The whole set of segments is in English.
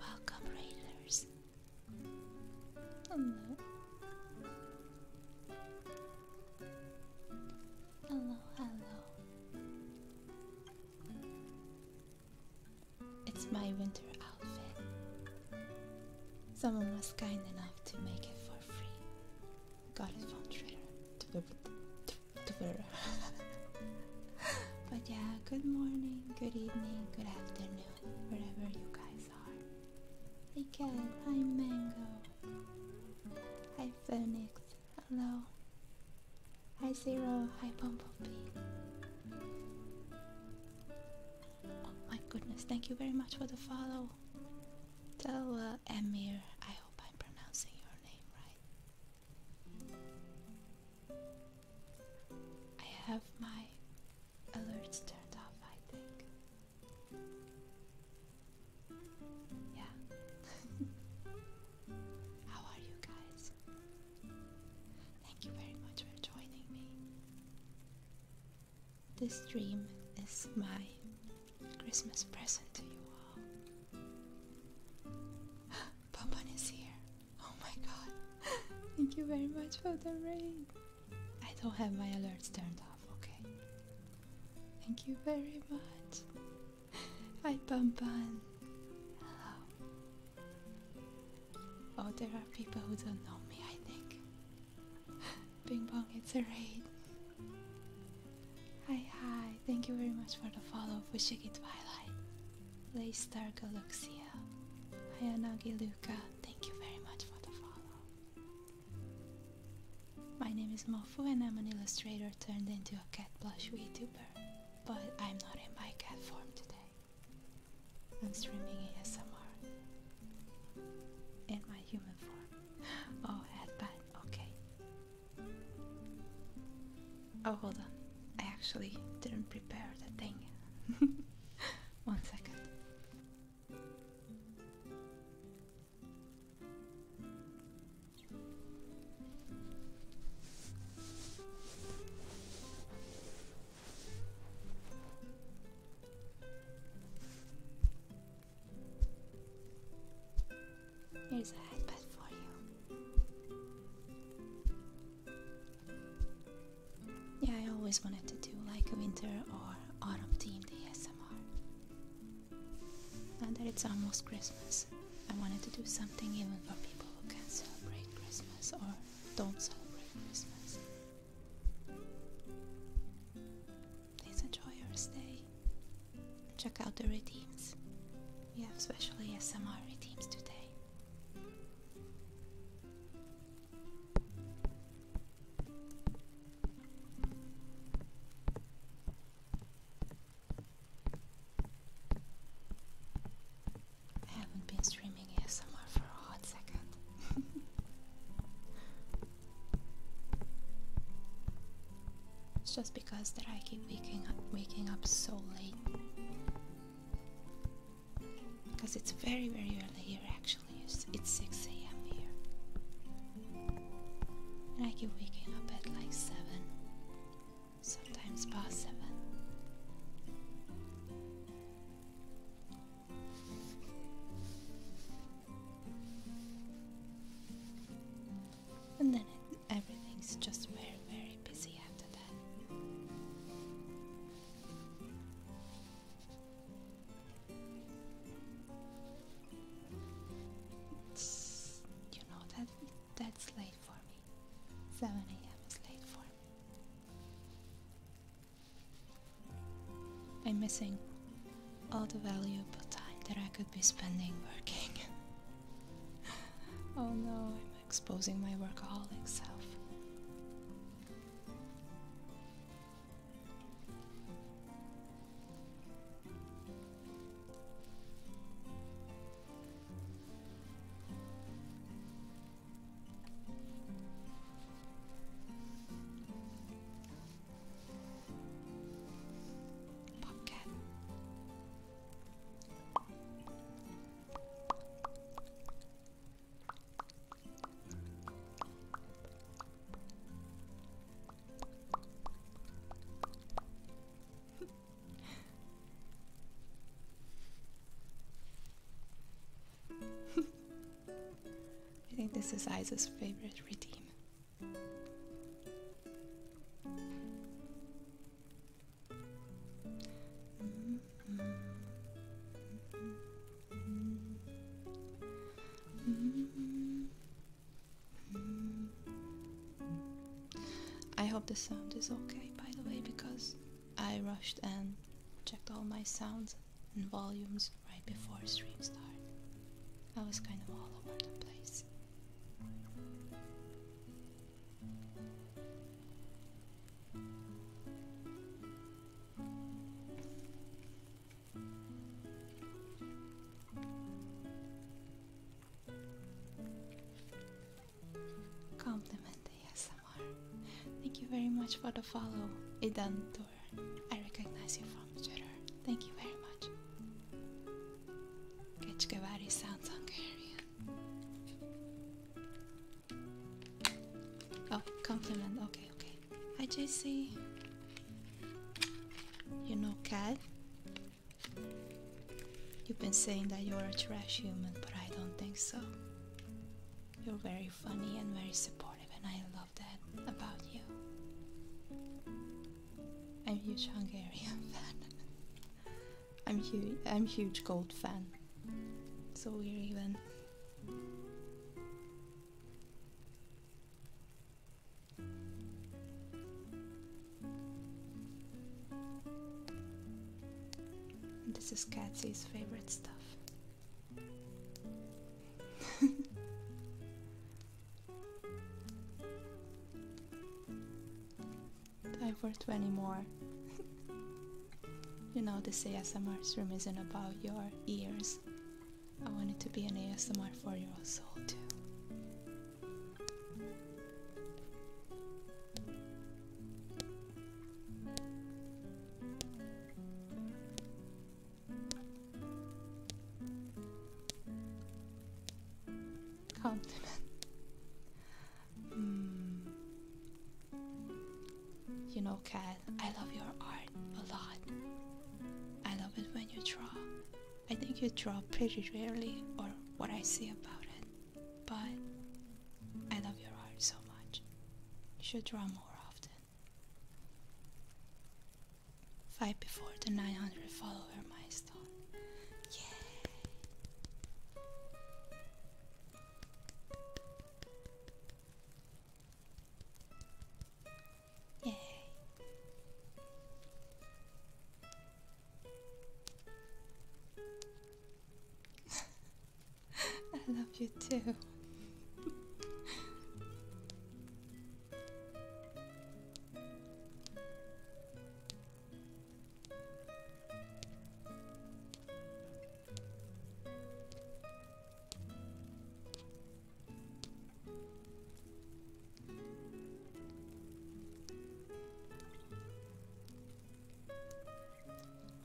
Welcome, Raiders. Hello. Hello, hello. It's my winter outfit. Someone was kind enough to make it for free. Got it from Twitter. but yeah, good morning, good evening, good afternoon, wherever you guys are. Hey cat, hi Mango. Hi Phoenix, hello. Hi Zero, hi Bumblebee. Oh my goodness, thank you very much for the follow. Tell uh, Amir, I hope I'm pronouncing your name right. I have my alerts turned off, I think. Yeah. How are you guys? Thank you very much for joining me. This stream is my Christmas present to you all. Bonbon is here. Oh my god. Thank you very much for the raid. I don't have my alerts turned off, okay? Thank you very much. Hi Bamban. Hello. Oh, there are people who don't know me, I think. Bing bong, it's a raid. Hi, hi. Thank you very much for the follow, Fushigi Twilight. Laystar Galaxia, Hayanagi Luka, thank you very much for the follow. My name is Mofu and I'm an illustrator turned into a cat plush VTuber, but I'm not in my cat form today. I'm streaming ASMR in my human form. Oh, headband, okay. Oh, hold on. I actually didn't prepare the thing One second. Here's a headpad for you. Yeah, I always wanted to do like a winter or autumn themed ASMR. Now that it's almost Christmas, I wanted to do something even for people who can't celebrate Christmas or don't celebrate Christmas. Please enjoy your stay. Check out the redeems. We have special ASMR redeems today. I haven't been streaming ASMR for a hot second. it's just because that I keep waking waking up so late because it's very very early here actually it's, 6 a.m here and i keep waking up at like 7 sometimes past 7 and then everything's just very very busy after that you know that that's late for me. 7 a.m. is late for me. I'm missing all the valuable time that I could be spending working. oh no, exposing my workaholic self. Popcat. I think this is Isa's favorite routine. I hope the sound is okay by the way because I rushed and checked all my sounds and volumes right before stream start. I was kind of all over the place. Compliment ASMR. Thank you very much for the follow, Idan Idantor. I recognize you from Twitter. Thank you very much. Keçkevari sounds Hungarian. Oh, compliment. Okay, okay. Hi, JC. You know, cat. You've been saying that you're a trash human, but I don't think so. You're very funny and very supportive, and I love that about you. I'm huge Hungarian fan. I'm huge. I'm huge gold fan. So we're even. This is Katsy's favorite stuff. Time for 20 more. You know, this ASMR room isn't about your ears. I want it to be an ASMR for your soul, too. Compliment. Hmm. You know, Kat, I love your art a lot. I love it when you draw. I think you draw pretty rarely, or what I see about it, but I love your art so much. You should draw more often. Five before the 900 follower milestone. Yeah. Yay. I love you too.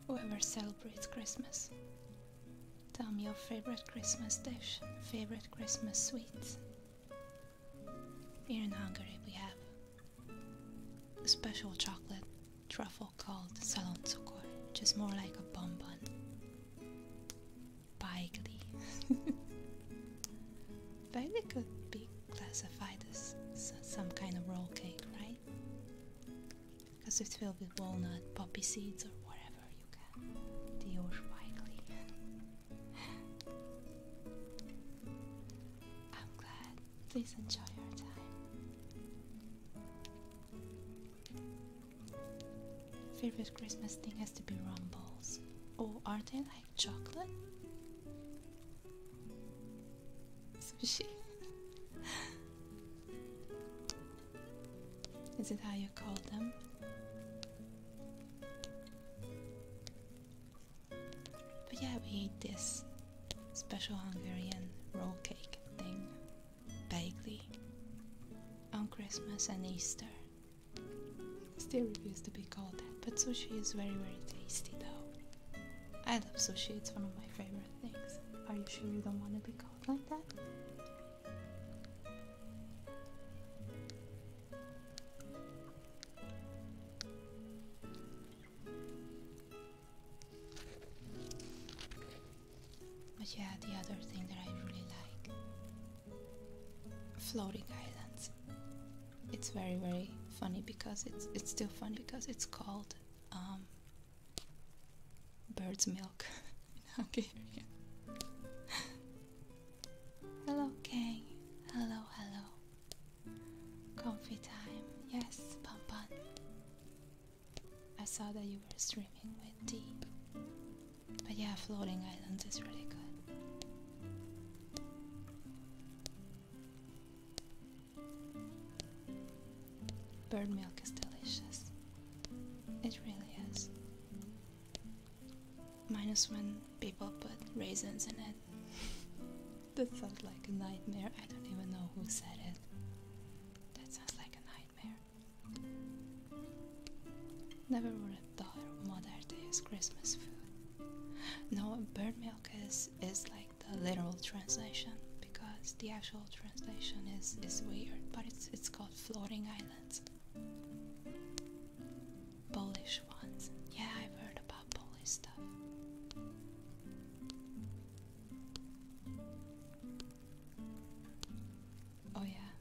Whoever celebrates Christmas, tell me your favorite Christmas dish, favorite Christmas sweets. Here in Hungary we have special chocolate truffle called salon cukor, which more like a bonbon. Baigli. Baigli could be classified as some kind of roll cake, right? Because it's filled with walnut, poppy seeds, or whatever you can. Dior Baigli. I'm glad. Please enjoy your time. Favorite Christmas thing has to be rum balls. Oh, are they like chocolate? Sushi. Is it how you call them? But yeah, we ate this special Hungarian roll cake thing, vaguely, on Christmas and Easter. Still refuse to be called that, but sushi is very, very tasty though. I love sushi, it's one of my favorite things. Are you sure you don't want to be called like that? But yeah, the other thing that I really like floating islands. It's very very funny because it's it's still funny because it's called um, bird's milk in hello, King. Hello, hello. Comfy time. Yes, pom pom. I saw that you were streaming with tea, But yeah, Floating Island is really good. Bird milk is delicious. It really is. Minus when people put raisins in it. that sounds like a nightmare. I don't even know who said it. That sounds like a nightmare. Never would have thought of Mother Day's Christmas food. No, bird milk is, is like the literal translation because the actual translation is, is weird, but it's, it's called floating islands. Polish ones. Yeah, I've heard about Polish stuff. Oh, yeah.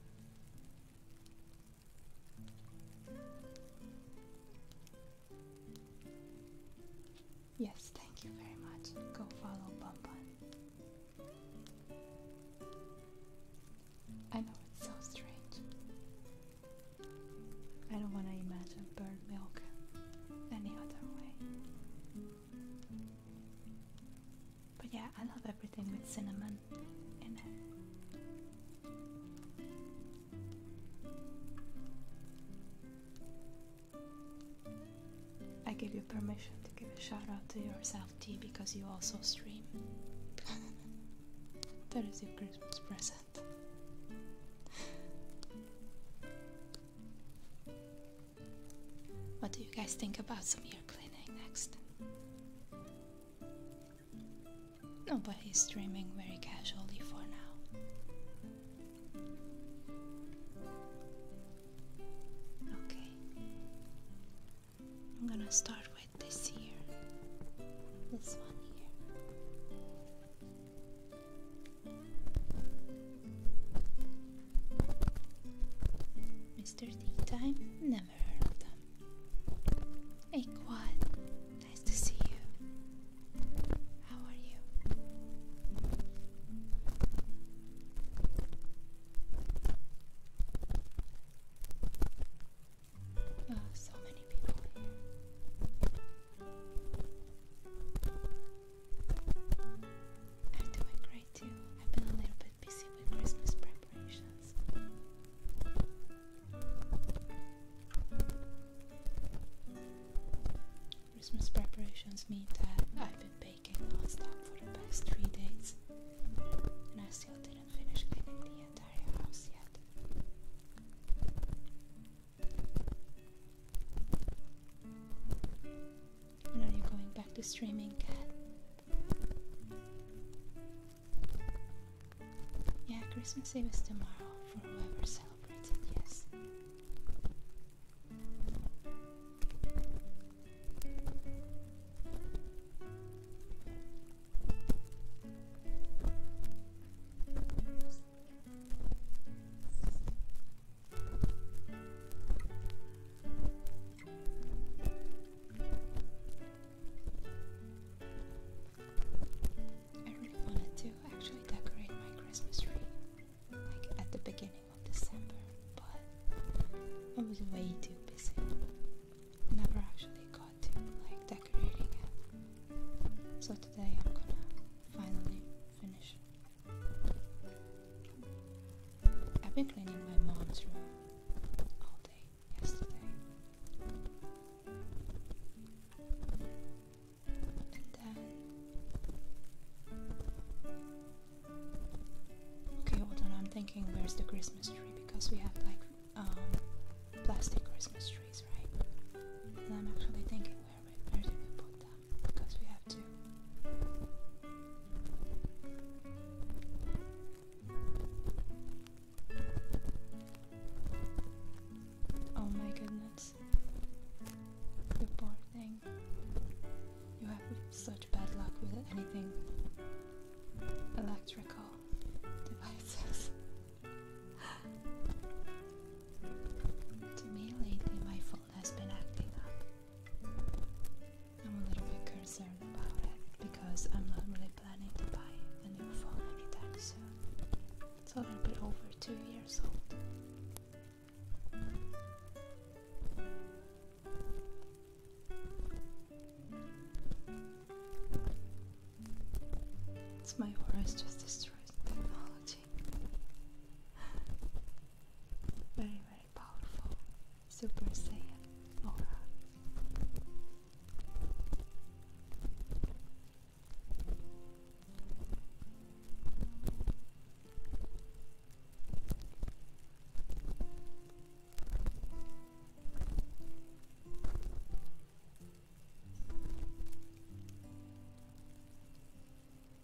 Yes, thank you very much. Go follow Bonbon. I know it's so strange. I don't want to imagine burnt milk any other way. But yeah, I love everything with cinnamon in it. I give you permission to give a shout out to yourself, T, because you also stream. that is your Christmas present. What do you guys think about some ear cleaning next? Nobody is streaming very casually for now. Okay. I'm gonna start with this year. This one here. Mr. Time, never heard of them. Hey, Quad, nice to see you. How are you? Oh, so many people here. I'm doing great too. I've been a little bit busy with Christmas preparations. Christmas preparations mean that I've been baking non-stop for the past three days and I still didn't finish cleaning the entire house yet. And are you going back to streaming, Cat? Yeah, Christmas Eve is tomorrow for whoever celebrates it, yes. I really wanted to actually decorate my Christmas tree like at the beginning of December, but I was way too busy. Never actually got to like decorating it. So today I'm gonna finally finish I've been cleaning my mom's room all day yesterday. And then Okay, hold on, I'm thinking where's the Christmas tree because we have like um, plastic Christmas trees, right? And I'm actually thinking where where did we put Oh my goodness. You poor thing. You have such bad luck with anything electrical devices. to me lately my phone has been acting up. I'm a little bit concerned about it because I'm not really planning to buy a new phone anytime soon. It's a little bit over two years old. It's my horse just destroys technology. but anyway, powerful Super Saiyan aura.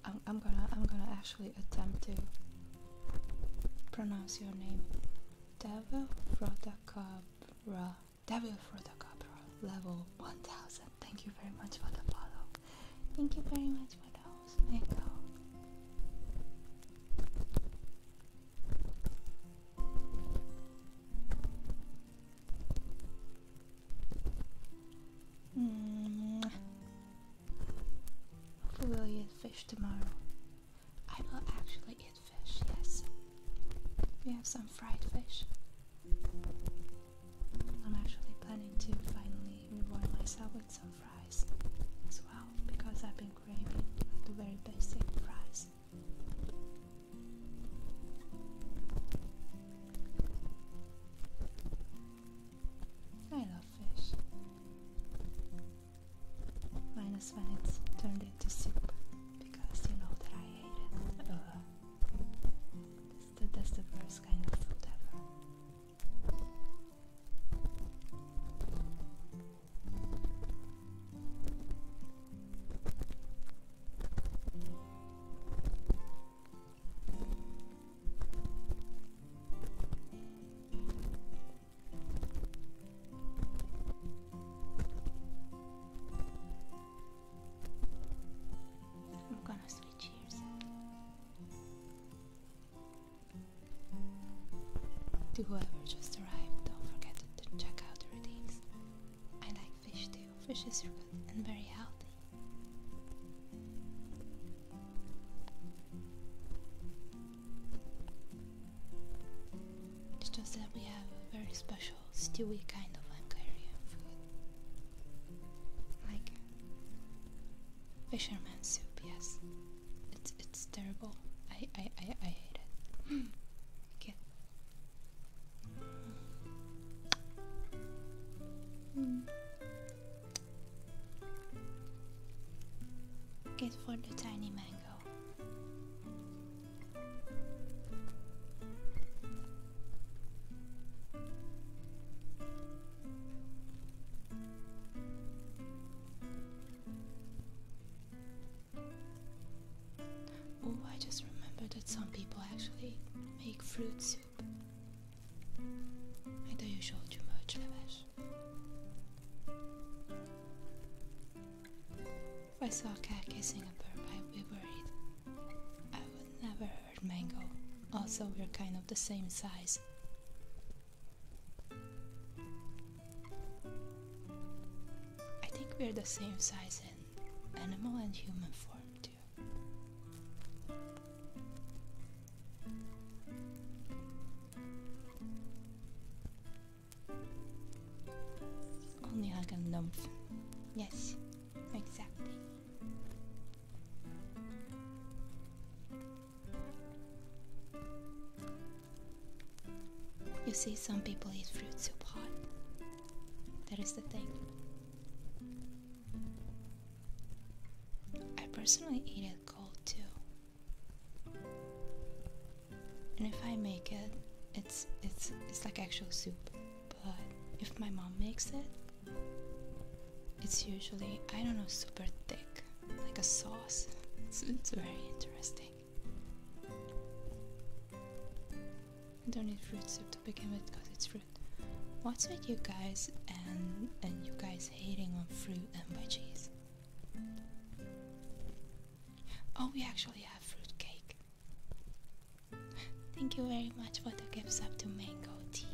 I'm, gonna I'm gonna actually attempt to pronounce your name. Devil Frotacabra. Devil Frotacabra. Level 1000. Thank you very much for the follow. Thank you very much for those. Echo. -hmm. Hopefully we'll eat fish tomorrow. I will actually eat fish, yes. We have some fried fish. I'm actually planning to finally reward myself with some fries as well because I've been craving like the very basic fries. I love fish. Minus when it's turned into soup, because you know that I hate it. Uh-huh. that's, the, that's the worst kind of food ever. I'm gonna switch ears. To whoever just arrived, don't forget to check out the redeems. I like fish too. Fish is good and very healthy. It's just that we have a very special stewy kind of Hungarian food. Like fisherman soup, yes. It's it's terrible. I I, I, I hate it. Hmm. Get for the tiny mango. Oh, I just remember that some people actually make fruit I know you showed too much, Levesh. If I saw a Cat kissing a bird, I'd be worried. I would never hurt Mango. Also, we're kind of the same size. I think we're the same size in animal and human form, too. Only like a nymph. Yes, exactly. You see, some people eat fruit soup hot. That is the thing. I personally eat it cold too. And if I make it, it's it's it's like actual soup. But if my mom makes it, it's usually I don't know super thick, like a sauce. It's, very interesting. I don't need fruit soup to begin with because it's fruit. What's with you guys and and you guys? hating on fruit and veggies? Oh, we actually have fruit cake. Thank you very much for the gifts sub to Mango Tea.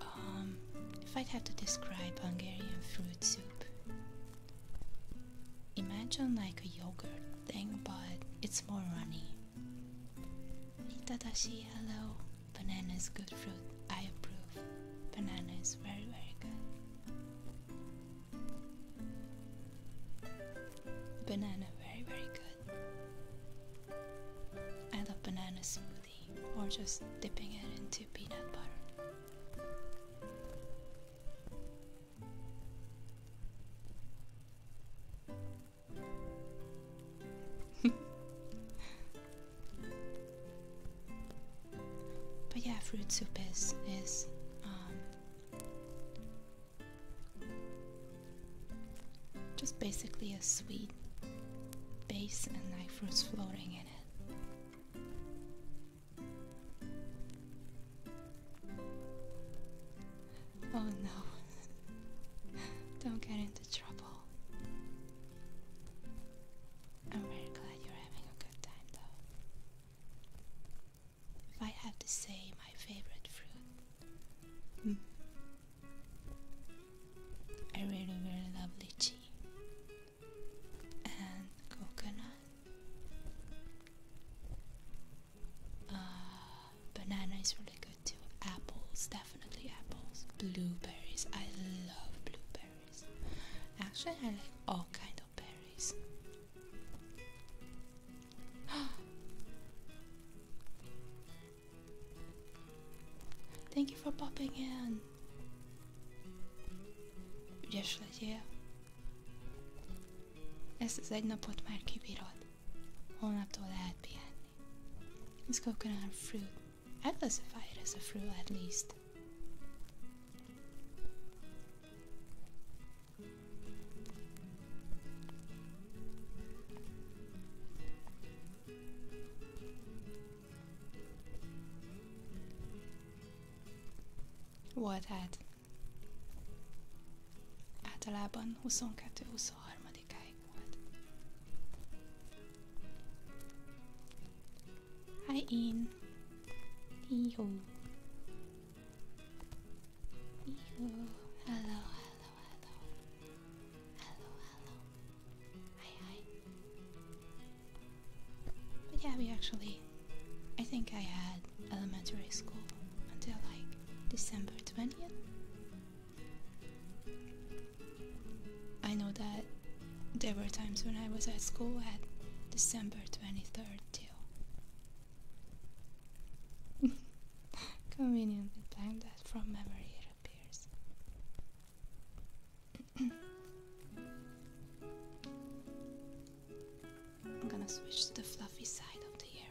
Um, if i had to describe Hungarian fruit soup, imagine like a yogurt thing, but it's more runny. Itadashi, hello. Bananas, good fruit. I approve. Banana is very, very good. Banana, very, very good. I love banana smoothie or just dipping it into peanut butter. but yeah, fruit soup is is um, just basically a sweet base and like fruits floating in it. Oh no. Don't get into trouble. I'm very glad you're having a good time though. If I have to say my favorite fruit, mm. I really, really love lychee and coconut. Uh, banana is really good too. Apples, definitely apples. Blueberries, I love blueberries. Actually, I like all kind of berries. Thank you for popping in. Ügyes legyél. Ezt egy napot már kibírod. Well, not all that bien. It's coconut fruit. I classify it as a fruit at least. What at? Általában Hi hello, hello! Hello, hello! Hi, hi! But yeah, we actually, I think I had elementary school until like December 20th. I know that there were times when I was at school at December 23rd too. Conveniently planned that from memory, it appears. I'm gonna switch to the fluffy side of the ear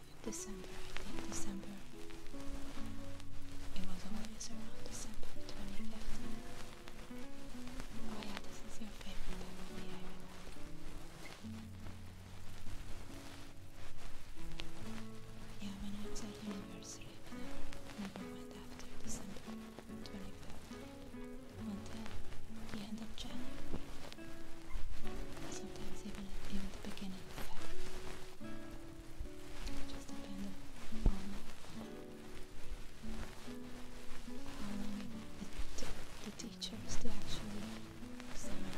December, I think December. It was always around December 25th. Oh yeah, this is your favorite time of the year. Yeah, when I was at university, I never, went after December 25th. I went at the end of January sometimes even in the beginning just depended on how long it took the teachers to actually summon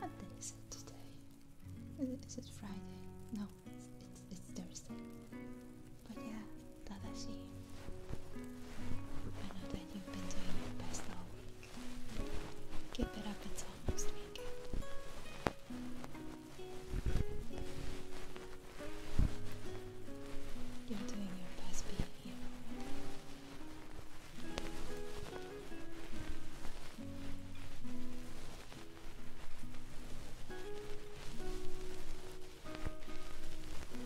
what day is it today? Is Friday? No, it's, Thursday. But yeah, Tadashi I know that you've been doing your best all week. Keep it up until next weekend. You're doing your best being here.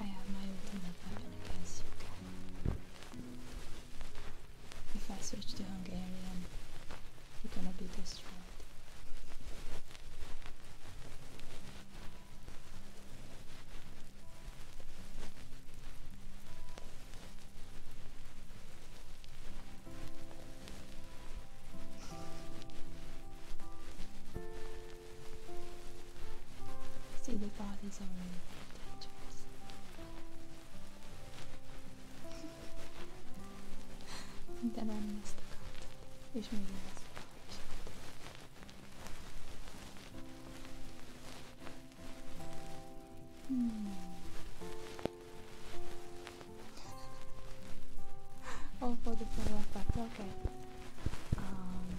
I have my ultimate weapon against you If I switch to Hungarian, you're gonna be destroyed. See the bodies already. De lenni ezt akartad. És még ezt akartad. Hmm. oh, for the follow-up, okay. Um,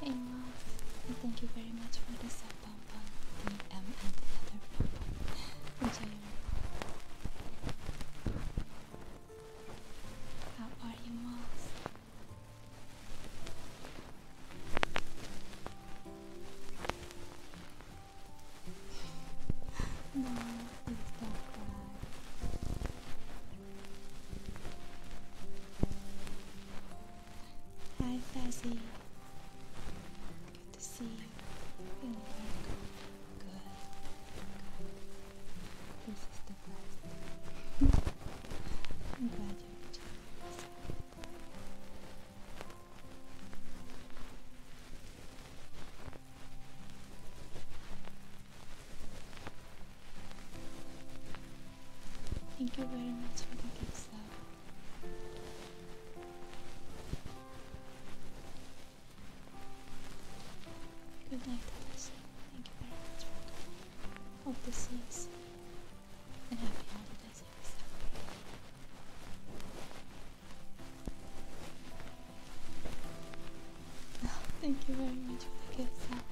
Hey Ross, thank you very much for this, sub pom pom, and other pom How are you, Moss? no, please do Hi Fezzy. Good to see you. Feeling good. Good. This is the best. I'm glad you're enjoying yourself. Thank you very much for the gifts, though. Good night, Alice. Thank you very much for coming. Hope to see And happy holidays Thank you very much for the gifts, though.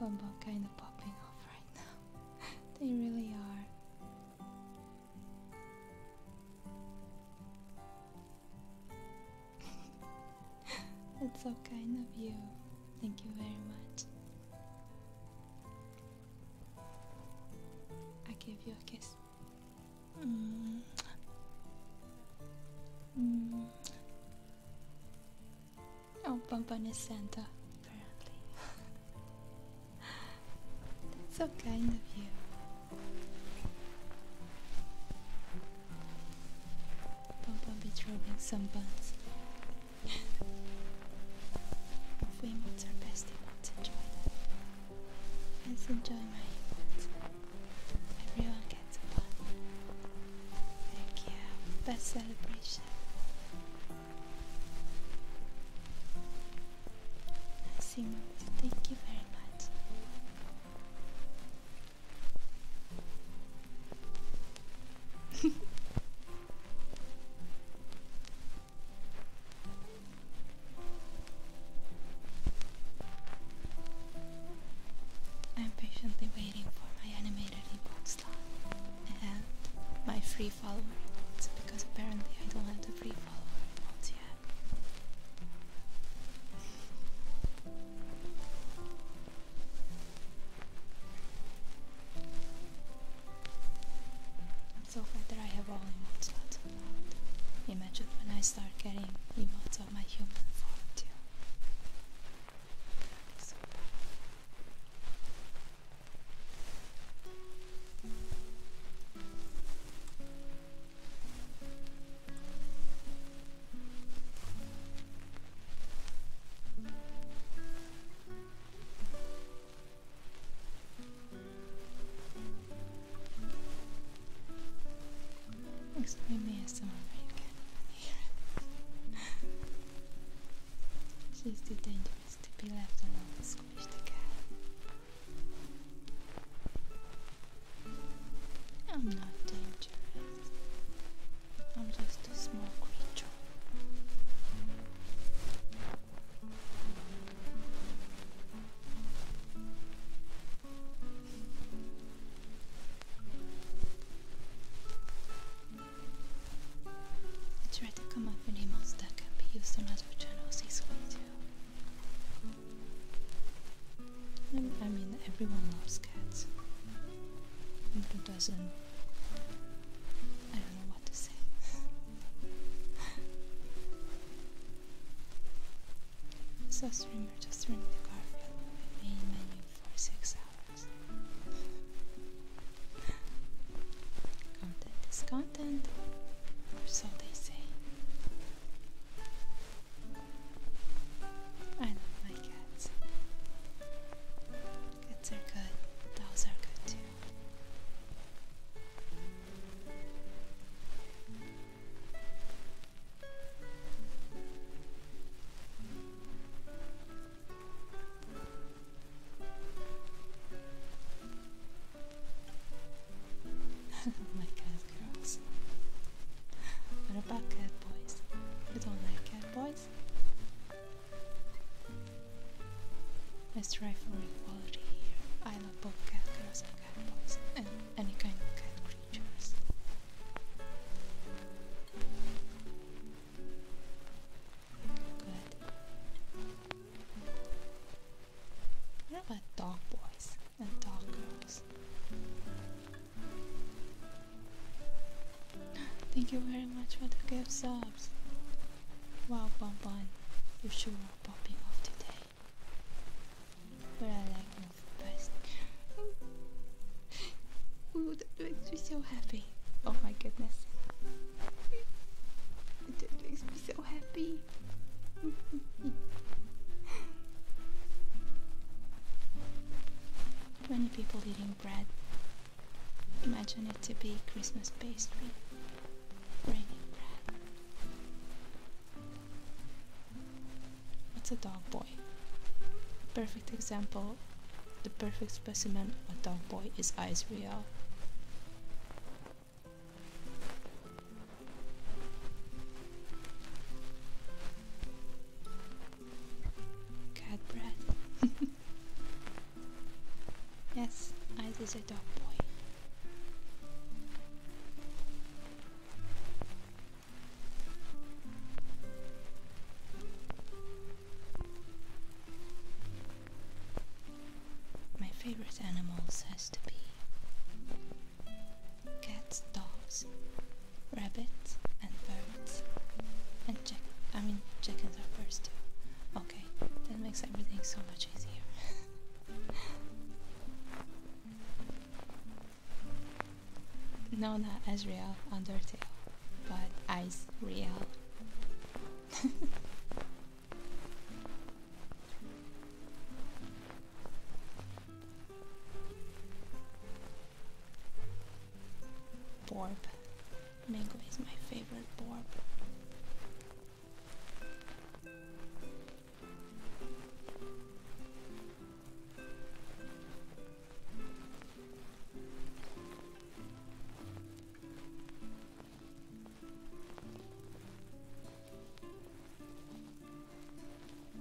Bumble kind of popping off right now. they really are. That's so kind of you. Thank you very much. I give you a kiss. Mm. Mm. Oh, Bumpun is Santa, apparently. That's so kind of you. Papa be dropping some buns. Females are best equipped to enjoy them. Let's enjoy my inputs. Everyone gets a bun. Thank you. Best celebration thank you very much. I'm patiently waiting for my animated inbox and my free follower because apparently I don't have the free follower emotes I'm so glad that I have all emotes not unlocked. Imagine when I start getting emotes of my human form too. Looks like we may She's too dangerous to be left alone, squished again. I'm not dangerous. I'm just a small creature. I tried to come up with a that can be used on other channels this way I mean, everyone loves cats. And who doesn't? I don't know what to say. so streamer just streamed the Garfield with main menu for six hours. Content is gone important, so they say. I love my cats. Cats are good, dogs are good too. like cat girls. What about cat boys? You don't like cat boys? Let's try for equality here. I love both cat girls and cat boys, and any kind of cat creatures. Good about dog boys and dog girls? Thank you very much for the gift subs. Wow, Bon Bon, you sure are popping off today. But I like the best. Ooh, that makes me so happy. Oh my goodness. That makes me so happy. Many people eating bread. Imagine it to be Christmas pastry. bread. What's a dog boy? Perfect example. The perfect specimen of a dog boy is real. Cat breath. yes, I is a dog boy. My favorite animals has Cats, dogs, rabbits, and birds. And I mean, chickens are birds too. Okay, that makes everything so much easier. no, not as Ezreal, Undertale, but Ice Real. Borb. Mango is my favorite borb.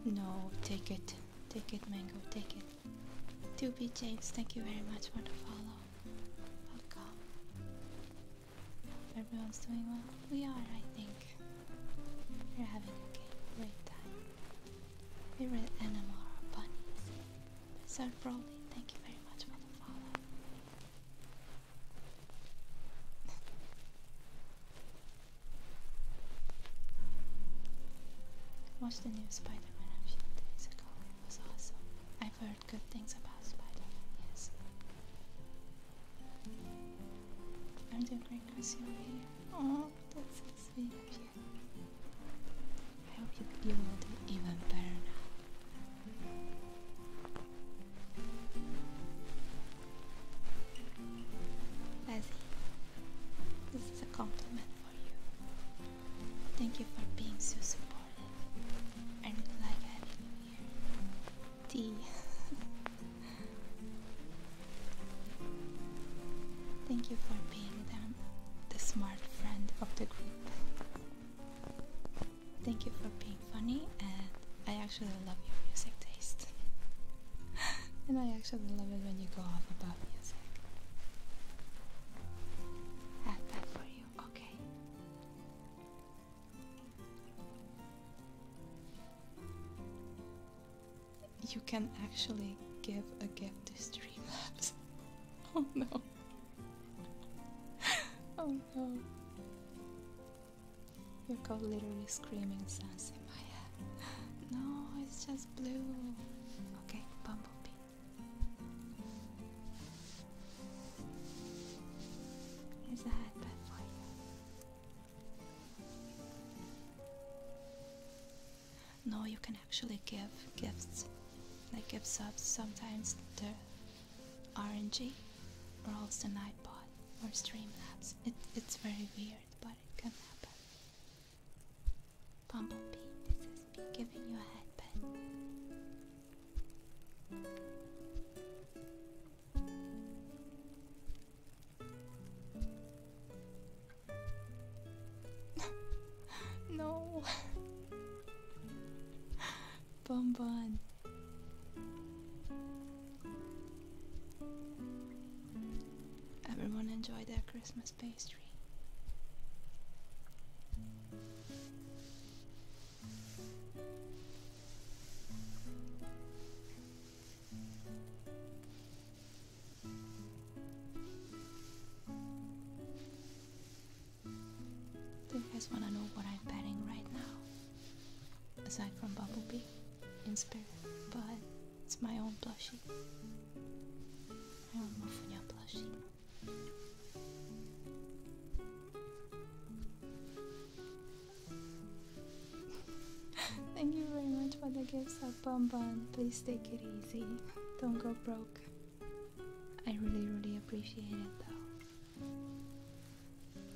No, take it. Take it, Mango, take it. 2B James, thank you very much for the follow. Welcome. Everyone's doing well? We are, I think. We're having a great time. We read Animal Bunnies. Sir Broly, thank you very much for the follow. Watched the new Spider-Man a few days ago. It was awesome. I've heard good things about Spider-Man, yes. I'm doing great because you're here. Oh, that's so sweet of you. I hope you, you do even better now. Leslie, this is a compliment for you. Thank you for being so supportive and like having you here. Tea. Thank you for being the smart friend of the group. Thank you for being funny, and I actually love your music taste. and I actually love it when you go off about music. Add that for you, okay? You can actually give a gift to Streamlabs. oh no. oh no you Your coat literally screaming sense in my head. No, it's just blue. Okay, bumblebee. Is a headband for you. No, you can actually give gifts. Like gifts, up sometimes they're orangey or else the night pot or Streamlabs. it's very weird, but it can happen. Bumblebee, this is me giving you a headband. no, Bonbon. Everyone enjoy their Christmas pastry. Do you guys wanna know what I'm betting right now? aside from Bumblebee in spirit, but it's my own plushie. My own Mufunya plushie. Thank you very much for the gifts of Bum Bum. Please take it easy. Don't go broke. I really, really appreciate it though.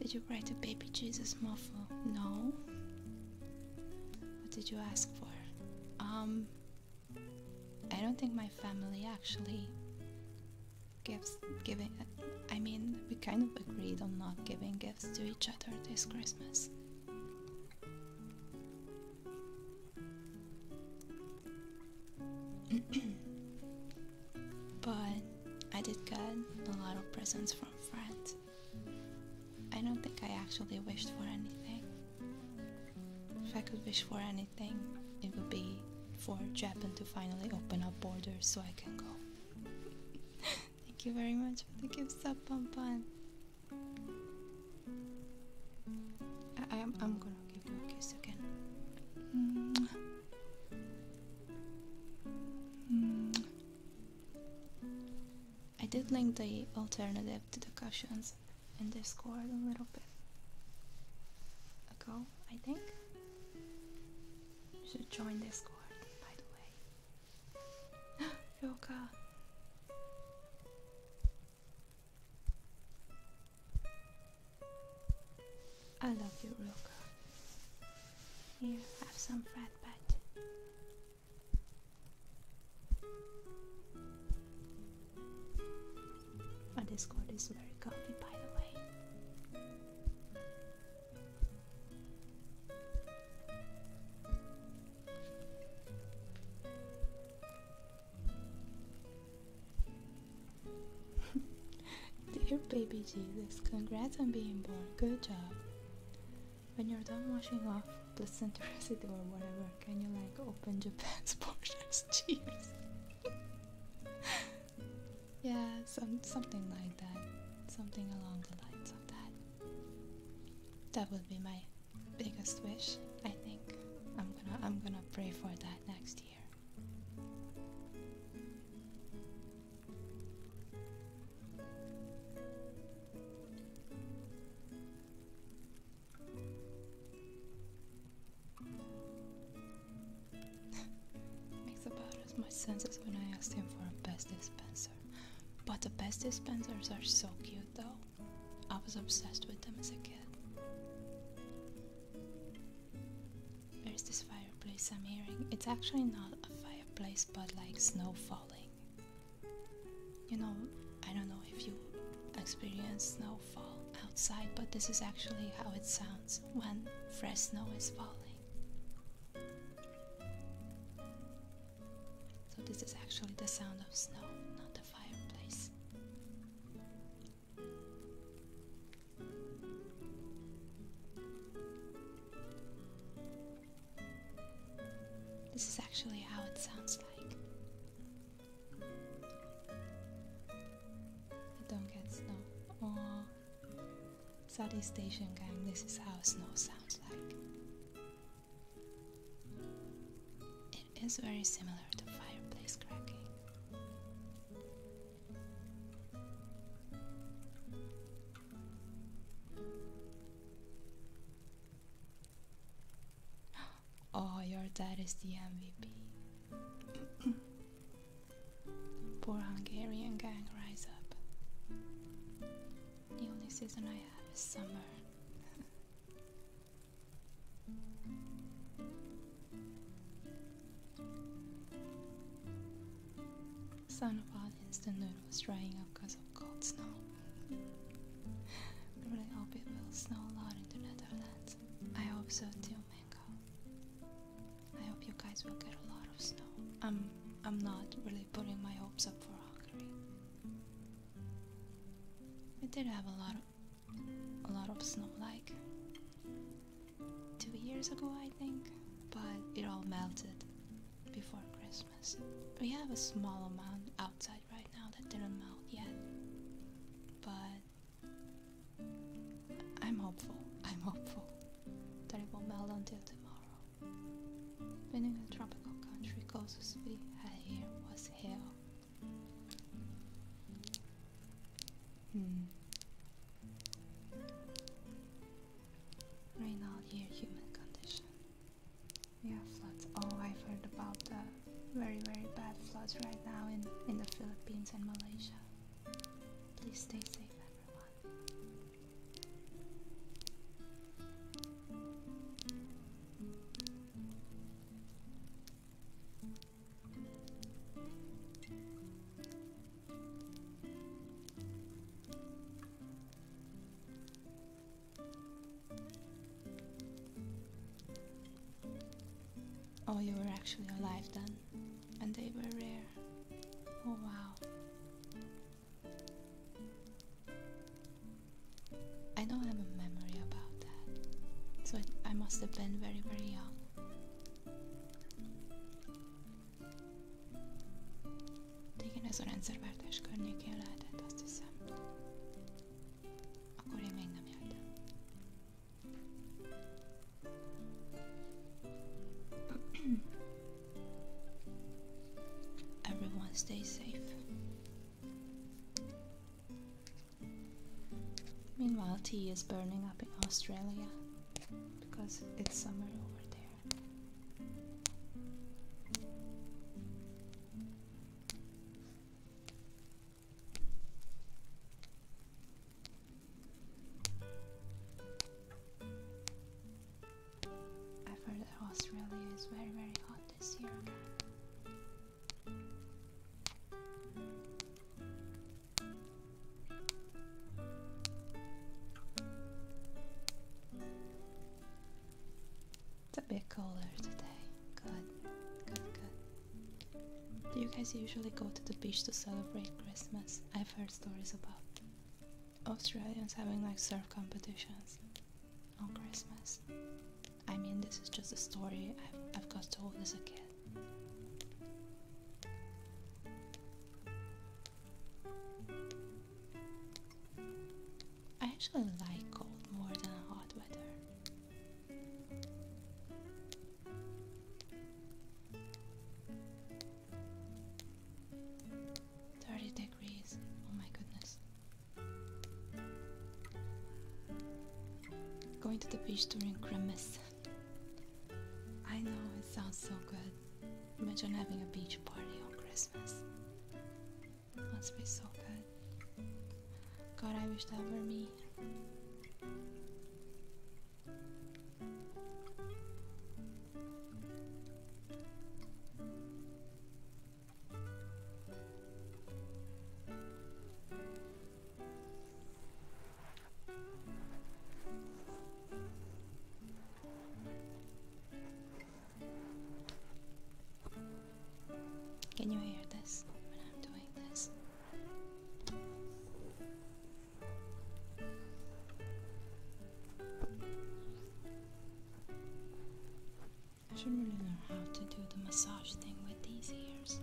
Did you write a baby Jesus muffle? No. What did you ask for? Um, I don't think my family actually gives giving. I mean, we kind of agreed on not giving gifts to each other this Christmas. but I did get a lot of presents from friends. I don't think I actually wished for anything. If I could wish for anything, it would be for Japan to finally open up borders so I can go. Thank you very much for the gift sub, Pam Pam. I am I'm gonna give you a kiss again. I did link the alternative to the cushions in Discord a little bit ago, I think. You should join Discord, by the way. Roka! I love you, Roka. Here, have some frat but. My Discord is very comfy, by the way. Dear baby Jesus, congrats on being born. Good job. When you're done washing off placenta residue or whatever, can you like open Japan's portions? Cheers. yeah, some something like that. Something along the lines of that. That would be my biggest wish, I think. I'm gonna I'm gonna pray for that next year. Makes about as much sense as when I asked him for a best dispenser. But the best dispensers are so cute though. I was obsessed with them as a kid. Where's this fireplace I'm hearing? It's actually not a fireplace but like snow falling. You know, I don't know if you experience snowfall outside, but this is actually how it sounds when fresh snow is falling. So, this is actually the sound of snow, not the fireplace. This is actually how it sounds like. I don't get snow. Oh, Southeast Asian gang, this is how snow sounds like. It is very similar to fireplace cracking. Oh, your dad is the MVP. Poor Hungarian gang, rise up. The only season I have is summer. Son of an instant noodle was drying up because of cold snow. really hope it will snow a lot in the Netherlands. I hope so too, Mango. I hope you guys will get a lot of snow. I'm I'm not really putting my hopes up for Hungary. We did have a lot of a lot of snow like two years ago I think, but it all melted before Christmas. We have a small amount outside right now that didn't melt yet, but I'm hopeful. I'm hopeful that it will not melt until tomorrow. Being a tropical country causes we had here was hell. Hmm. Right now, here, human condition. We have floods. Oh, I've heard about the very, very bad floods right now in, in the Philippines and Malaysia. Please stay safe, everyone. Oh, you were actually alive then, and they were rare. Oh, wow. I don't have a memory about that, so I must have been very, very young. De ez a rendszerváltás környékén lehetett, azt hiszem. Akkor én még nem éltem. Everyone stay safe. Meanwhile, tea is burning up in Australia because it's summer over there. I've heard that Australia is very, very hot this year again. It's a bit colder today. Good, good, good. Do you guys usually go to the beach to celebrate Christmas? I've heard stories about Australians having like surf competitions on Christmas. I mean, this is just a story I've got told as a kid. I actually like cold more than hot weather. Thirty degrees, oh my goodness. Going to the beach during Christmas. I know it sounds so good. Imagine having a beach party on Christmas. Must be so good. God, I wish that were me. Can you hear this when I'm doing this? I should really learn how to do the massage thing with these ears.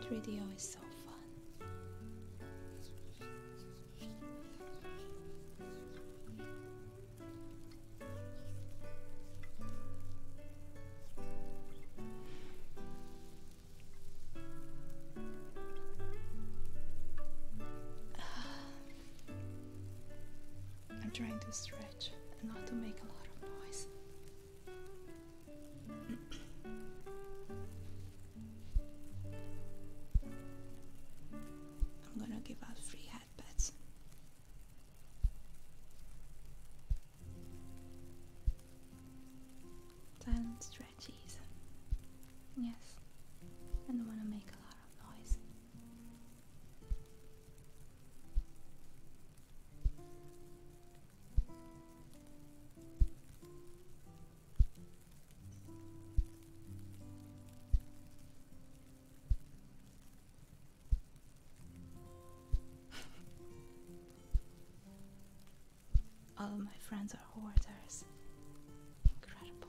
3DO is so fun. Ah. I'm trying to stretch and not to make a lot of noise. I'm gonna give out free hat pets. Yes, I don't want to make a lot of noise. All my friends are hoarders. Incredible.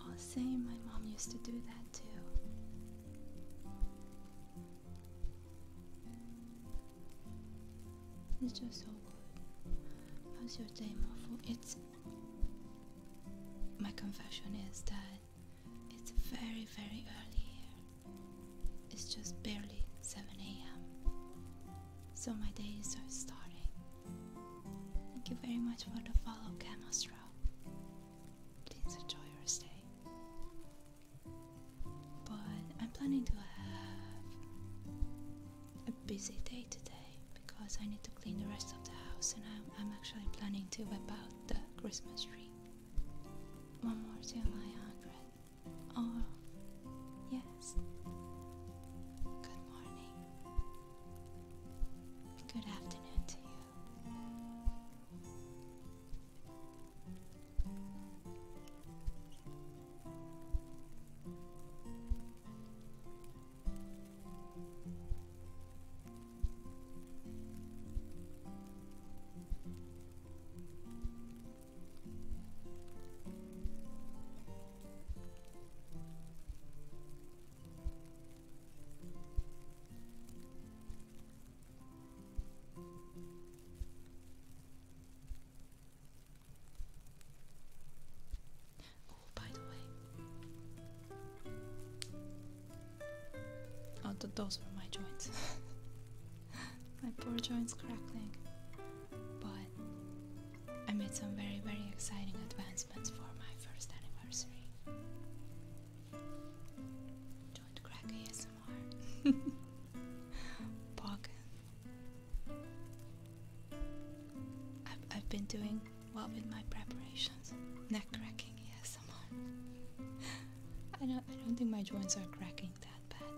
Oh, same. My mom used to do that too. It's just so good. How's your day, Muffle? It's. My confession is that it's very, very early here. It's just barely 7 a.m. So my days are starting Thank you very much for the follow, Camastro. Please enjoy your stay. But I'm planning to have a busy day today because I need to clean the rest of the house and I'm, I'm actually planning to whip out the Christmas tree. One more till my hundred. Oh, yes. Good morning. Good afternoon to you. Oh, by the way, oh, those were my joints. my poor joints crackling. But I made some very, very exciting advancements for my first animal. Joint crack ASMR. Pogan. I've, I've been doing well with my preparations. Neck cracking ASMR. I don't, I don't think my joints are cracking that bad,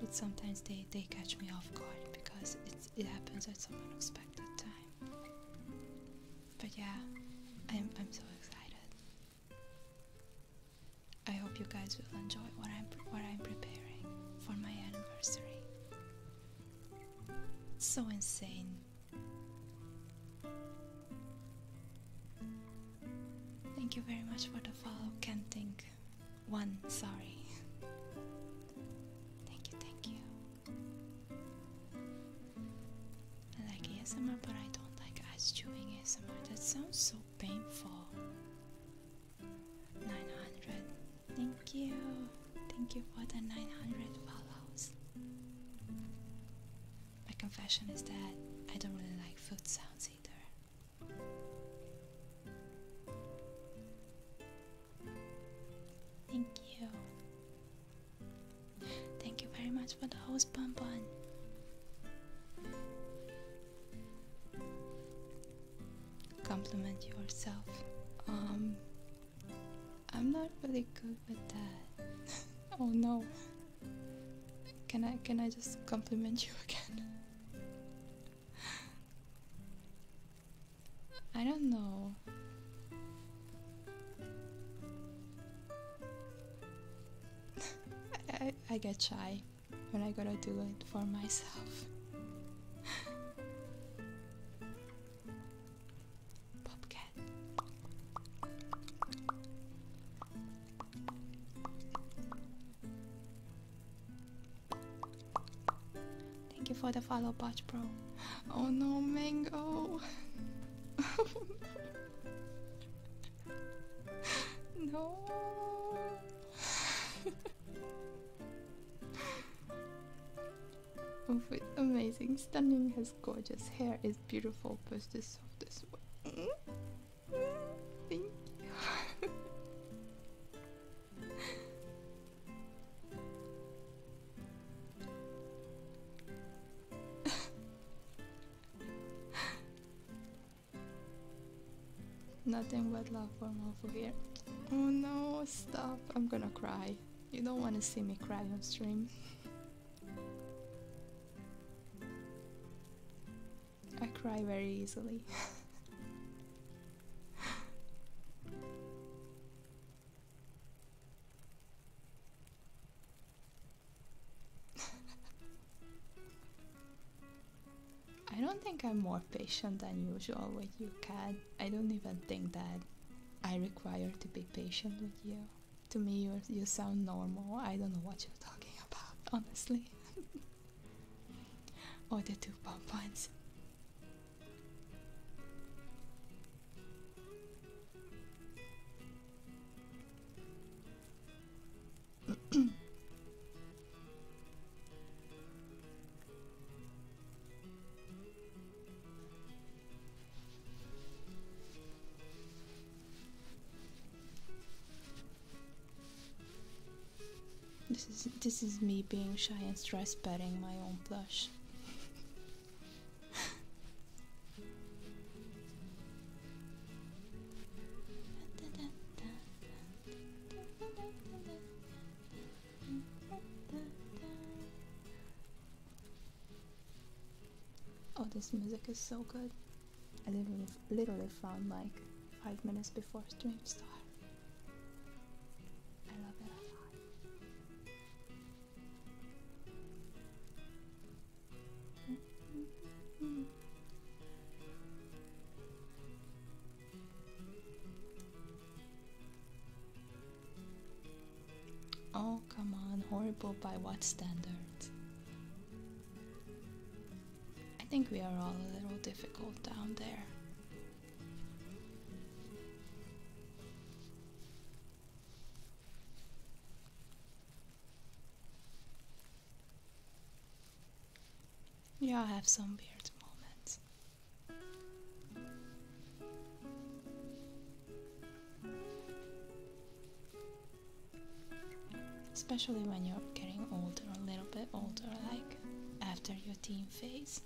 but sometimes they, they catch me off guard because it, it happens at some unexpected time. But yeah, I'm, I'm so excited. I hope you guys will enjoy what I'm, what I'm preparing for my anniversary. It's so insane. Thank you very much for the follow, can't think. One, sorry. Thank you, thank you. I like ASMR, but I don't like ice chewing ASMR. That sounds so painful. 900. Thank you. Thank you for the 900 follows. My confession is that I don't really like food sounds either. Thank you. Thank you very much for the host, Bon Bon. Compliment yourself. Um, I'm not really good with that. oh no. Can I can I just compliment you again? I don't know. I, I, get shy when I gotta do it for myself. Popcat. Thank you for the follow, Botch Pro. Oh no, Mango! oh no! oh, wait, amazing, stunning, has gorgeous hair, is beautiful, but the softest way. Thank you. Nothing but love from over here. Oh no, stop. I'm gonna cry. You don't wanna see me cry on stream. I cry very easily. I don't think I'm more patient than usual with you, Cat. I don't even think that I require to be patient with you. To me, you you sound normal. I don't know what you're talking about, honestly. oh, the two pound this is this is me being shy and stress petting my own plush. Oh, this music is so good. I literally, found like five minutes before stream start. I love it a lot. Oh, come on, horrible by what standard? I think we are all a little difficult down there you all have some weird moments. Especially when you're getting older, a little bit older, like after your teen phase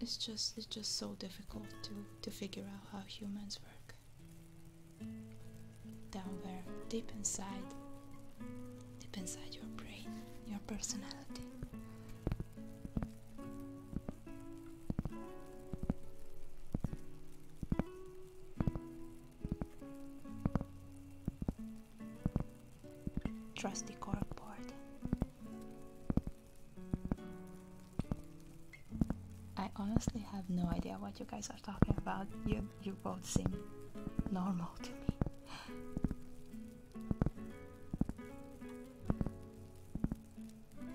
it's just it's just so difficult to to figure out how humans work down there deep inside deep inside your brain your personality trusty corkboard I honestly have no idea what you guys are talking about. You you both seem normal to me.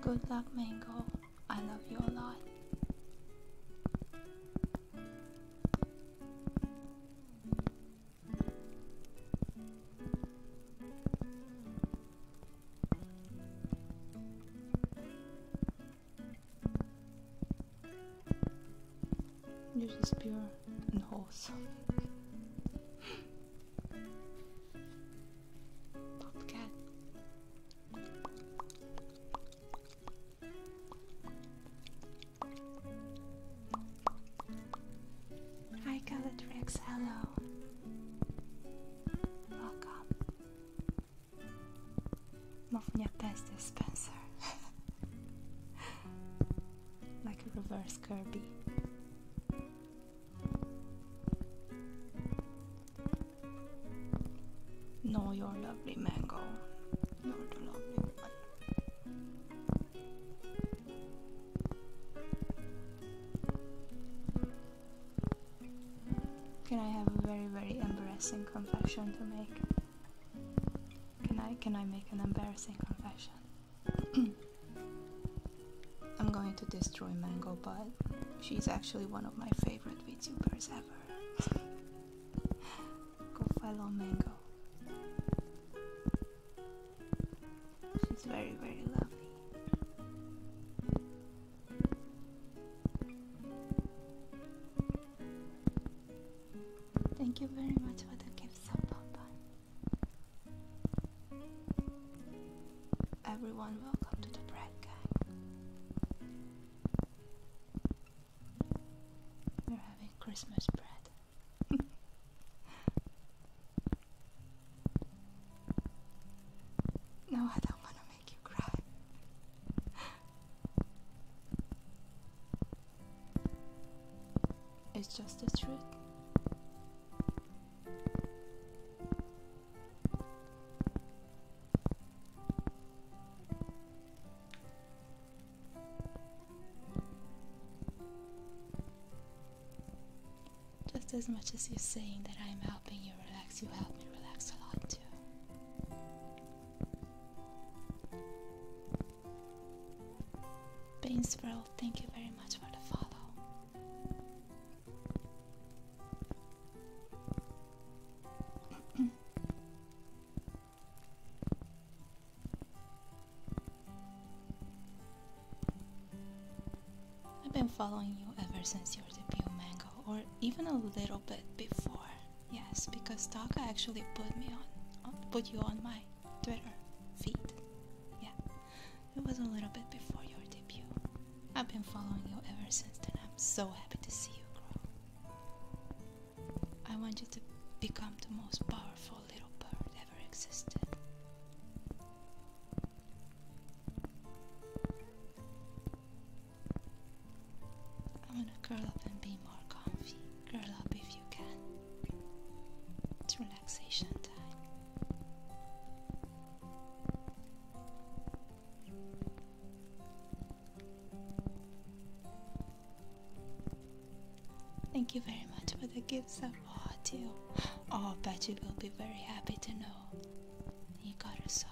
Good luck, Mango. I love you a lot. You're just pure and wholesome. Popcat. Hi Galatrix, hello. Welcome. Mów mnie bez dispenser. like a reverse Kirby. No, your lovely mango. Not a lovely one. Can I have a very, very embarrassing confession to make? Can I can I make an embarrassing confession? I'm going to destroy Mango, but she's actually one of my favorite VTubers ever. Go follow Mango. She's very, very lovely. Thank you very much for the gifts Papa. Everyone, welcome to the bread guy. We're having Christmas bread. No, I don't want to make you cry. It's just the truth. Just as much as you are saying that I'm helping you relax, you help me relax a lot too. Bainsboro, thank you very much for the follow. I've been following you ever since your debut, Mango, or even a little bit before. Yes, because Taka actually put me on, put you on my Twitter feed. Yeah, it was a little bit before your debut. I've been following you ever since then. I'm so happy to see you grow. I want you to become the most powerful little bird I'm going to curl up and be more comfy. Curl up if you can. It's relaxation time. Thank you very much for the gifts, Oh dear. Oh, Betty will be very happy to know you got us up.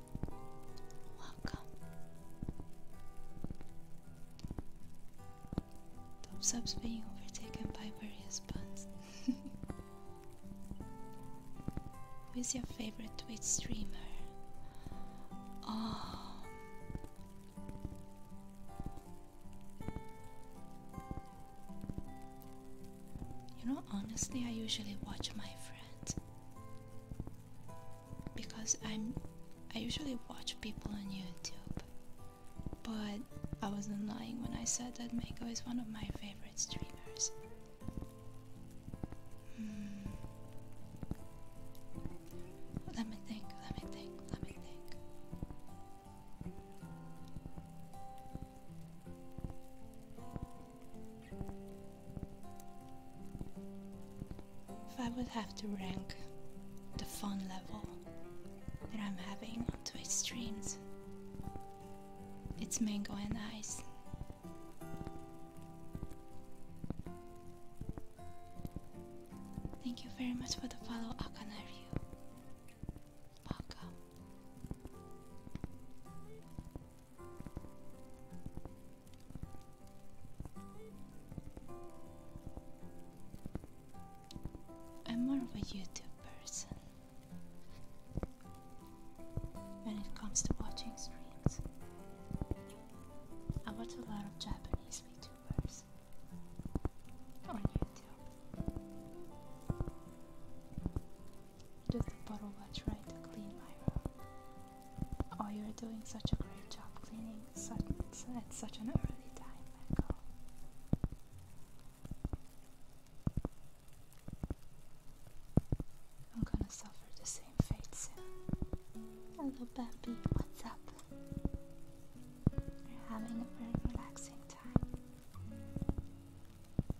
Welcome. Top subs being overtaken by various bots. Who is your favorite Twitch streamer? Oh. You know, honestly, I usually watch my friends because I'm I usually watch people on YouTube. But I wasn't lying when I said that Mako is one of my favorite streamers. Hmm. Let me think, let me think, let me think. If I would have to rank the fun level that I'm having on Twitch streams, it's mango and ice. Thank you very much for the follow, Akanariu. Welcome. I'm more of a YouTube person when it comes to watching streams. I watch a lot of Japanese VTubers on YouTube to the bottle I tried to clean my room. Oh, you're doing such a great job cleaning such, at such an early time, I'm gonna suffer the same fate soon. Hello, Bappy. What's up? You're having a very relaxing time.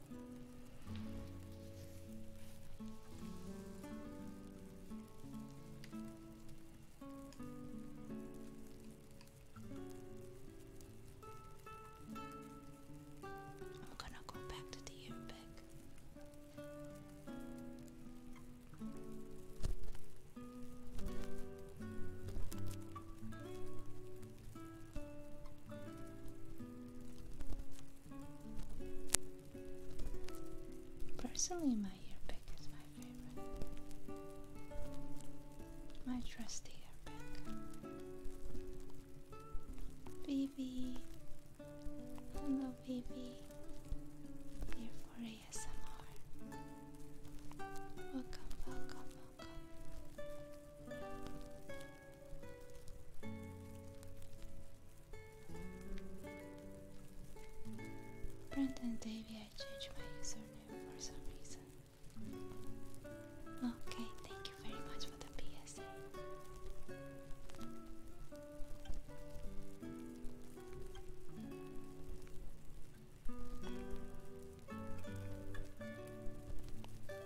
I'm gonna go back to the Impact. Personally, my ear pick is my favorite. My trusty ear pick. Baby. Hello, baby. Here for ASMR. Welcome, welcome, welcome. Brent and Davy, I changed my username for some reason. Okay, thank you very much for the PSA.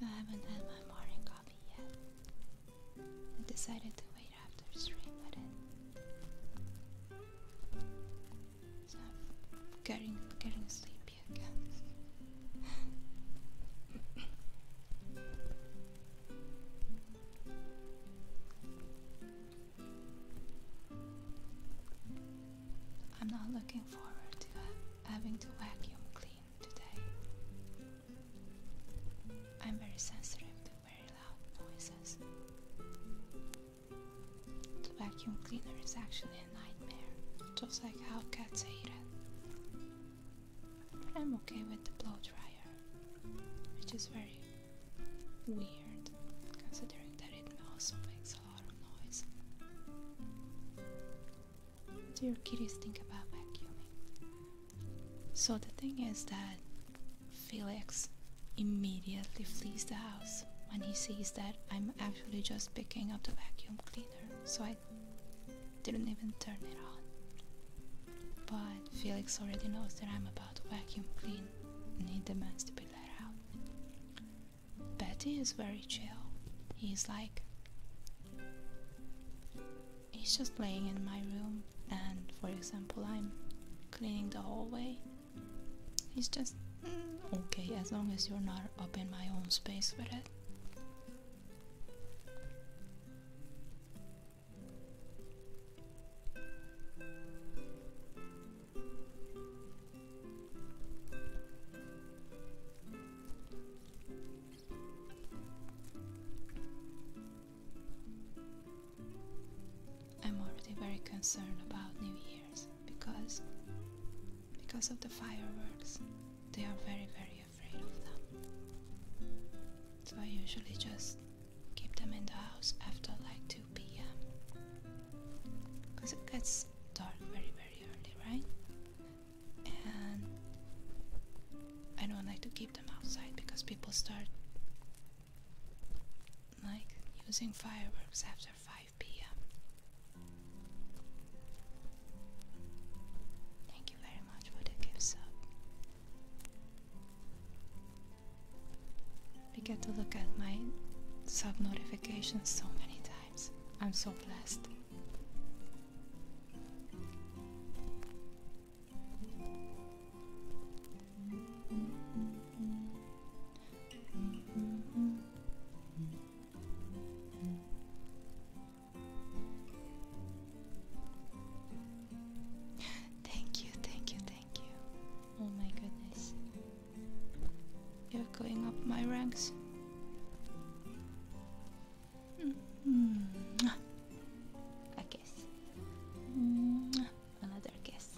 I haven't had my morning coffee yet. I decided to wait after stream with So I'm getting getting sleepy again. I'm not looking forward to having to vacuum clean today. I'm very sensitive to very loud noises. The vacuum cleaner is actually a nightmare, just like how cats hate it. I'm okay with the blow dryer, which is very weird considering that it also makes a lot of noise. Do your kitties think about vacuuming? So the thing is that Felix immediately flees the house when he sees that I'm actually just picking up the vacuum cleaner, so I didn't even turn it on. But Felix already knows that I'm about to vacuum clean and he demands to be let out. Betty is very chill. He's like, he's just laying in my room and for example I'm cleaning the hallway. He's just mm, okay as long as you're not up in my own space with it. I'm already very concerned about New Year's because because of the fireworks. They are very very so I usually just keep them in the house after like 2 p.m. Because it gets dark very, very early, right? And I don't like to keep them outside because people start like using fireworks after 5 p.m. Thank you very much for the gift I get to look at my sub notifications so many times. I'm so blessed. Thank you, thank you, thank you. Oh my goodness. You're going up my ranks. Mm-hmm. A kiss. Mm-hmm. Another kiss.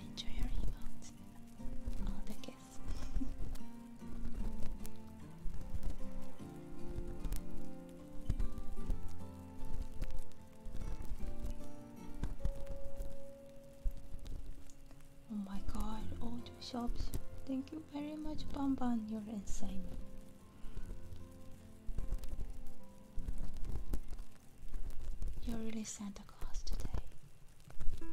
Enjoy your emotes, all the oh my god, all two shops. Thank you very much, Bamban. You're insane. You're really Santa Claus today.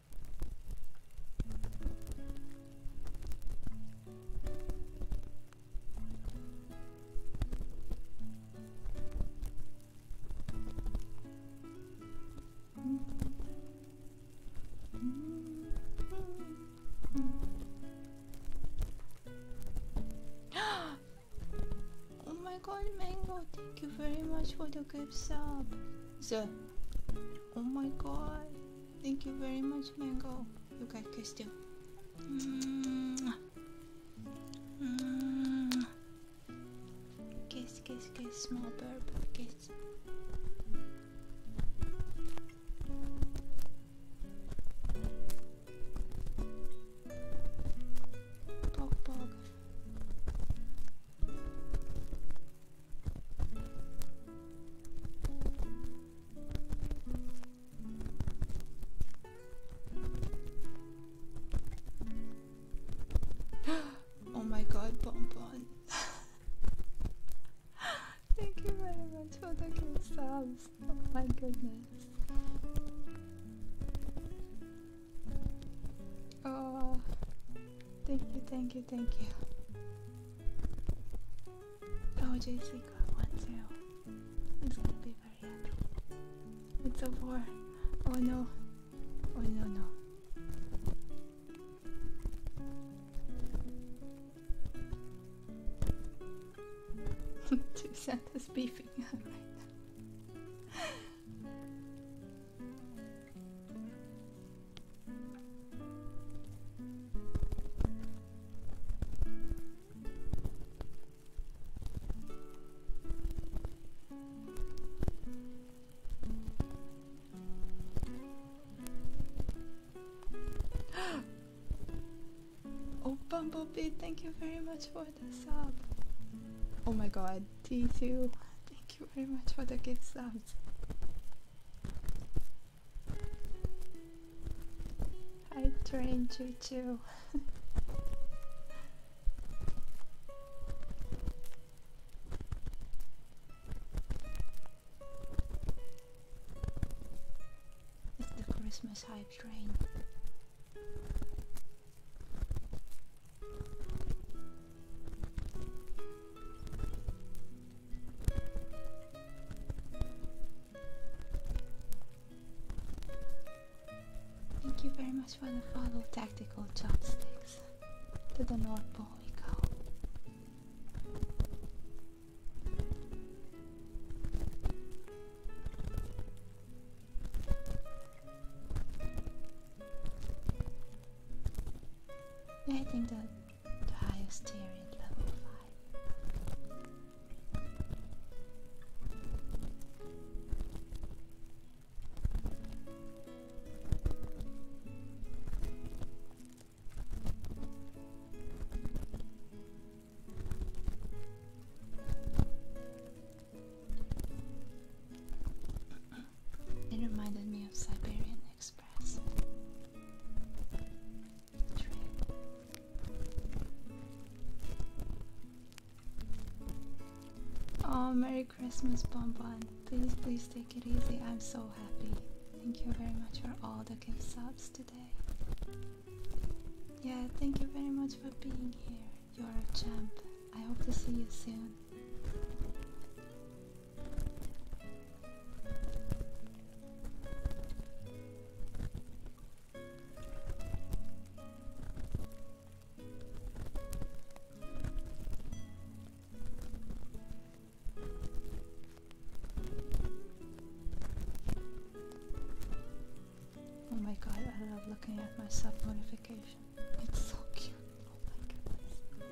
oh my god, Mango, thank you very much for the gift Up So, oh my god. Thank you very much, Mango. You got kissed too. Kiss, kiss, kiss, small burp, kiss. Pog, pog. oh my god, pom! Thank you very much for the good Oh my goodness. Oh, Thank you, thank you, thank you. Oh, JC got one too. gonna be very happy. It's a war. Oh no. Oh no, no. Two Santa's beefing up right now. oh, Bumblebee, thank you very much for the sub. Oh my god, T2, thank you very much for the gifts subs. I trained you too. it's the Christmas hype train. Thank you very much for the follow tactical chopsticks. To the North Pole we go. I think that to highest tier at level 5. It reminded me of Siberian Express. Oh, Merry Christmas, Bonbon. Please, please take it easy. I'm so happy. Thank you very much for all the gifts subs today. Yeah, thank you very much for being here. You're a champ. I hope to see you soon. Oh my god, I love looking at my sub notification. It's so cute. Oh my goodness.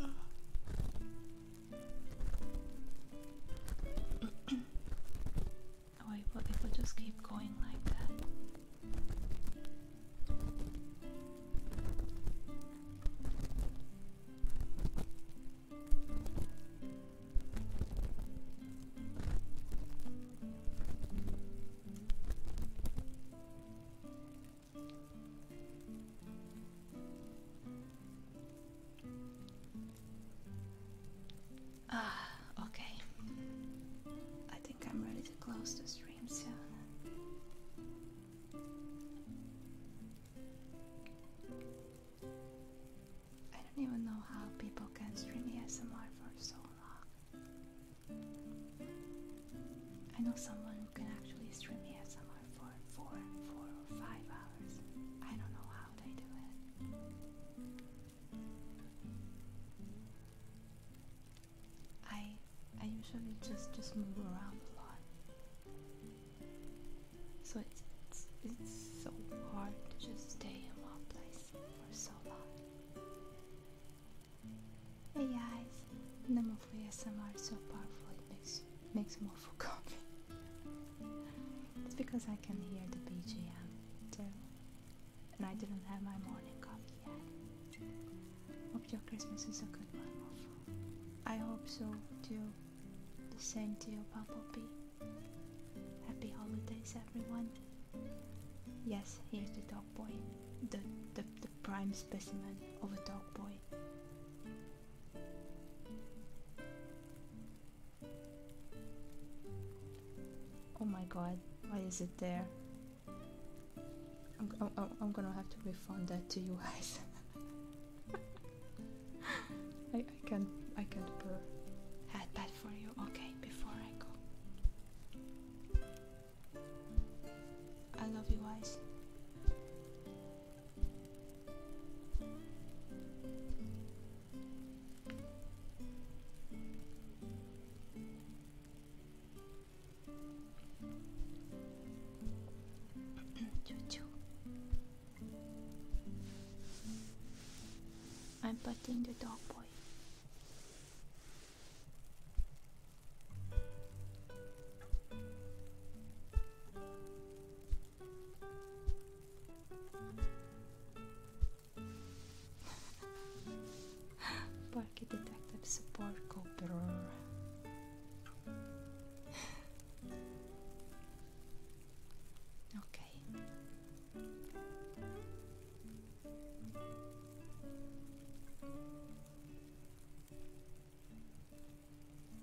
oh, it it will just keep going like that. Ah, okay. I think I'm ready to close the stream soon. I don't even know how people can stream ASMR for so long. I know someone who can actually stream ASMR for four, or five hours. I don't know how they do it. I I usually just just move around a lot, so it's it's, it's so hard to just stay in one place for so long. Hey guys, more for ASMR is so powerful it makes makes more coffee. it's because I can hear the BGM too. And I didn't have my morning coffee yet. Hope your Christmas is a good one, I hope so too. The same to you, Bumblebee. Happy holidays everyone. Yes, here's the dog boy. The, the, the prime specimen of a dog boy. Oh my god, why is it there? I'm, I'm, I'm gonna have to refund that to you guys. I, I can't I can't purr. Had for you. Okay, before I go. I love you guys. I'm petting the dog boy. Parky Detective Support Cooper. Okay.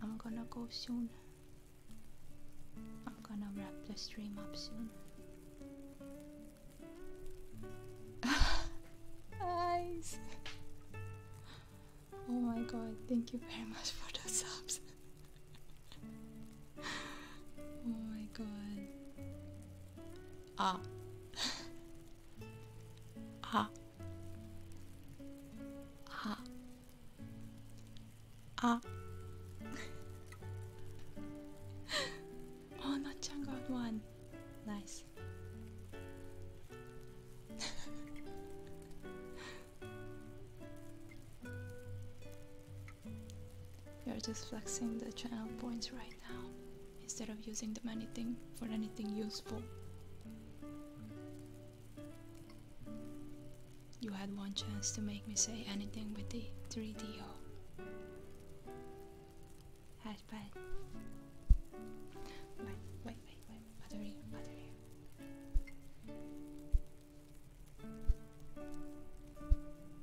I'm gonna go soon. I'm gonna wrap the stream up soon. Eyes. Oh my god, thank you very much for the subs. oh my god. Ah. ah ah ah あなっちゃん got one nice You're just flexing the channel points right now instead of using them anything for anything useful. You had one chance to make me say anything with the 3DO. Hatchpad. Wait, wait, wait, wait. Battery, battery.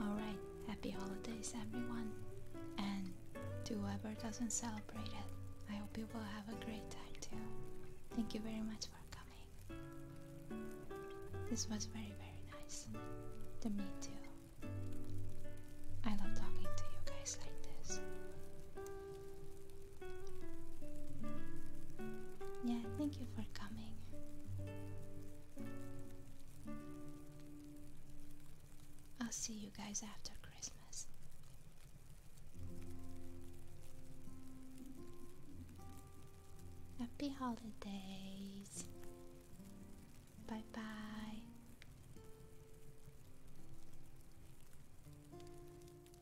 Alright, happy holidays everyone, and to whoever doesn't celebrate it, I hope you will have a great time too. Thank you very much for coming. This was very, very nice. The me too. I love talking to you guys like this. Yeah, thank you for coming. I'll see you guys after Christmas. Happy holidays. Bye bye.